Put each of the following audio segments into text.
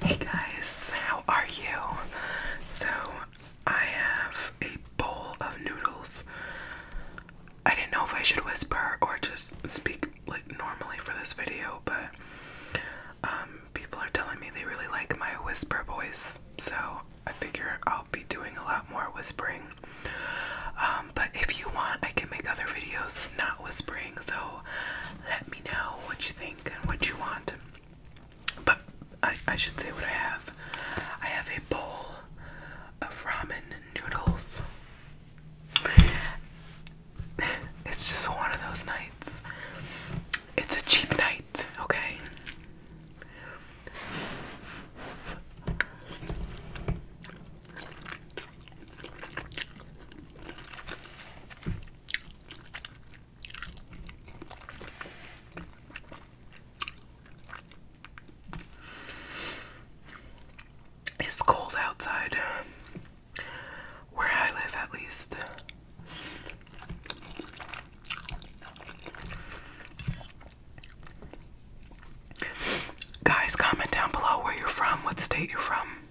Hey guys, how are you? So, I have a bowl of noodles. I didn't know if I should whisper or just speak like normally for this video, but um, people are telling me they really like my whisper voice, so I figure I'll be doing a lot more whispering. Um, but if you want, I can make other videos not whispering, so let me know what you think and what you want. But I, should say what I have. I have a bowl of ramen noodles. It's just one of those nights. It's a cheap night, okay? It's cold outside where I live, at least. Guys, comment down below where you're from, what state you're from.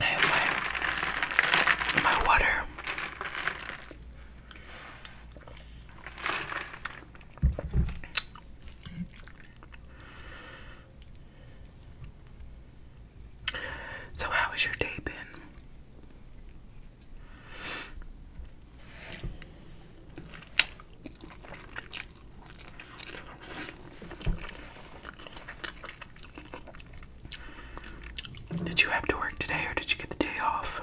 I my, my water. So, how has your day been? Did you have to work today or did you get the day off?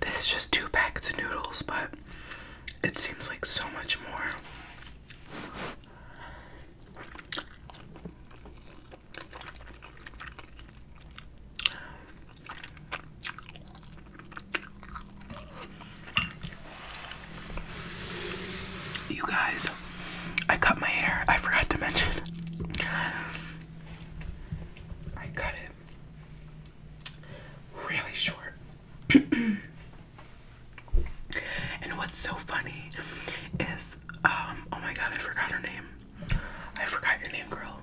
This is just two packets of noodles, but it seems like so much more. You guys, I cut my hair. I forgot to mention. I cut it really short. and what's so funny is, um, oh my god, I forgot her name. I forgot your name, girl.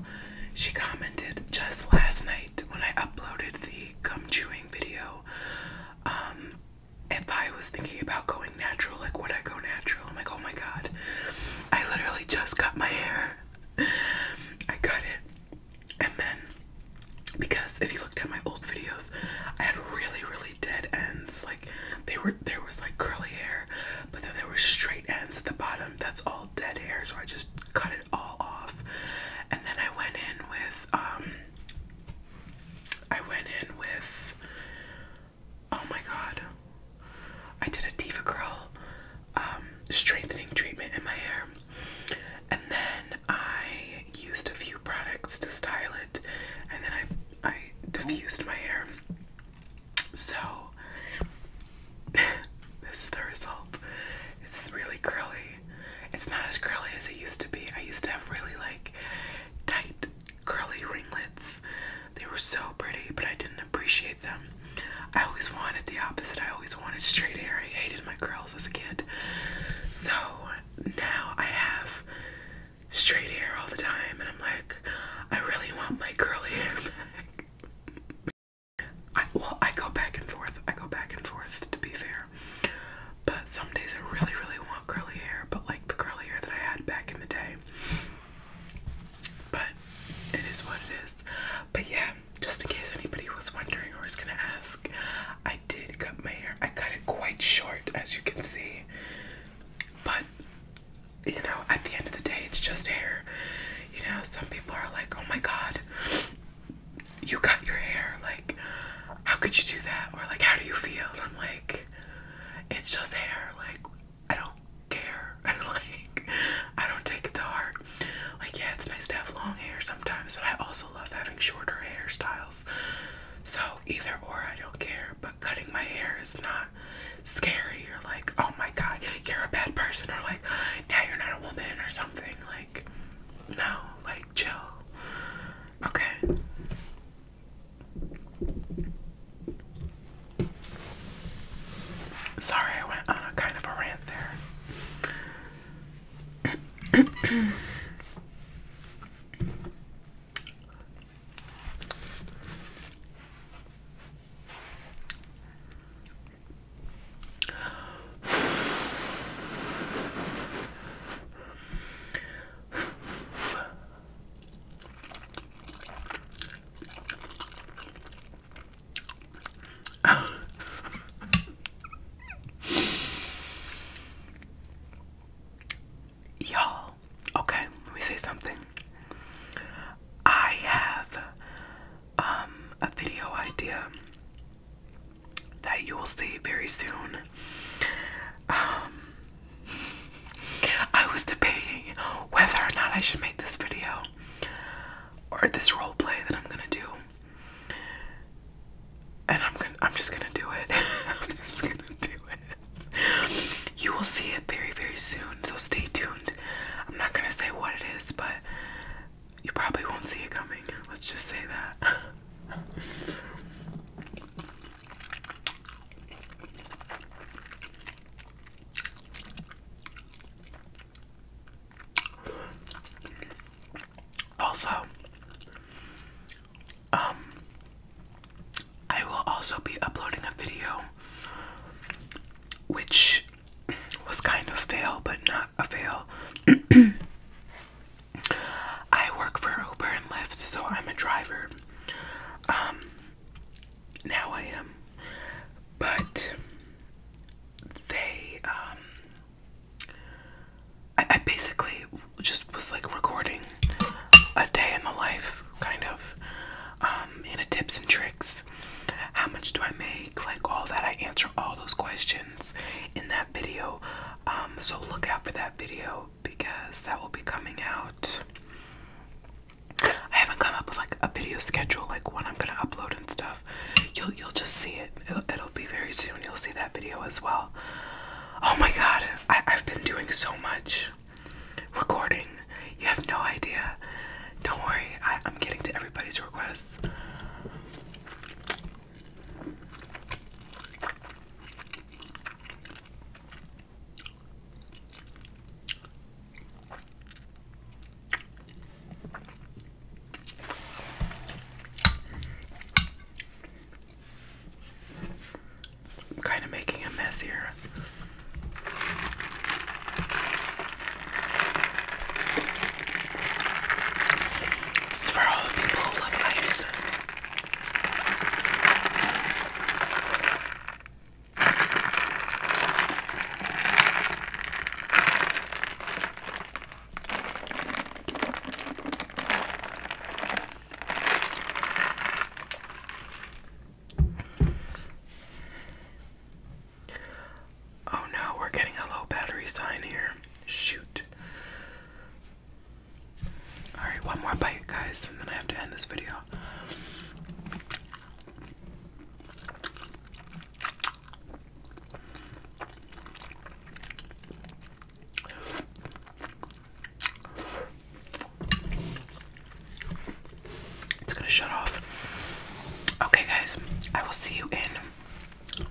She commented just last night when I uploaded the gum chewing video. Um, if I was thinking about going natural, like would I go natural? I'm like, oh my god. I literally just cut my hair. I cut it. And then because if you looked at my old videos, I had really, really dead ends. Like they were there was like curly hair, but then there were straight ends at the bottom. That's all dead hair, so I just cut it all off. And then I went in with um, I went in with oh my god. I did a Diva Curl um, strengthening treatment in my hair. And then I used a few products to style it and then I I diffused my hair. So this is the result. It's really curly. It's not as curly as it used to be. I used to have really like tight curly ringlets. They were so pretty, but I didn't appreciate them. I always wanted the opposite. I always wanted straight hair. I hated my curls as a kid. So now I have straight hair all the time, and I'm like, I really want my curly hair back. well, I go back and forth. I go back and forth, to be fair. But some days I really, really want curly hair, but like the curly hair that I had back in the day. But it is what it is. But yeah, just in case anybody was wondering or was gonna ask, I did cut my hair. I cut it quite short, as you can see. But you know, at the end of the day, it's just hair. You know, some people are like, oh my god, you cut your hair like how could you do that or like how do you feel i'm like it's just hair like i don't care like i don't take it to heart like yeah it's nice to have long hair sometimes but i also love having shorter hairstyles so either or i don't care but cutting my hair is not scary you're like oh my god you're a bad person or like now you're not a woman or something like no, like chill. Okay. Sorry, I went on a kind of a rant there. Y'all, okay, let me say something. I have um a video idea that you will see very soon. Um, I was debating whether or not I should make this video or this role play that I'm gonna do, and I'm gonna I'm just gonna do it. You will see it very very soon, so stay tuned. I'm not gonna say what it is, but you probably won't see it coming. Let's just say that. Also, um, I will also be uploading a video which was kind of fail, but not a fail. I work for Uber and Lyft, so I'm a driver. Um, now I am, but they, um, I basically just was like recording a day in the life, kind of, um, in a tips and tricks how much do I make? Like all that. I answer all those questions in that video. Um, so look out for that video because that will be coming out. I haven't come up with like a video schedule, like when I'm gonna upload and stuff. You'll you'll just see it. It'll, be very soon. You'll see that video as well. Oh my god, I've been doing so much recording. You have no idea. Don't worry, I, am getting to everybody's requests. I'm kind of making a mess here. It's for all the people who love ice. Oh no, we're getting a low battery sign here. Shoot. Alright, one more bite, guys, and then I have to end this video. It's gonna shut off. Okay, guys, I will see you in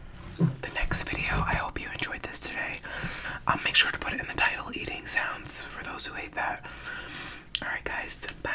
the next video. I hope you enjoyed this today. I'll um, make sure to put it in the title Eating Sounds for those who hate that. Alright, guys, bye.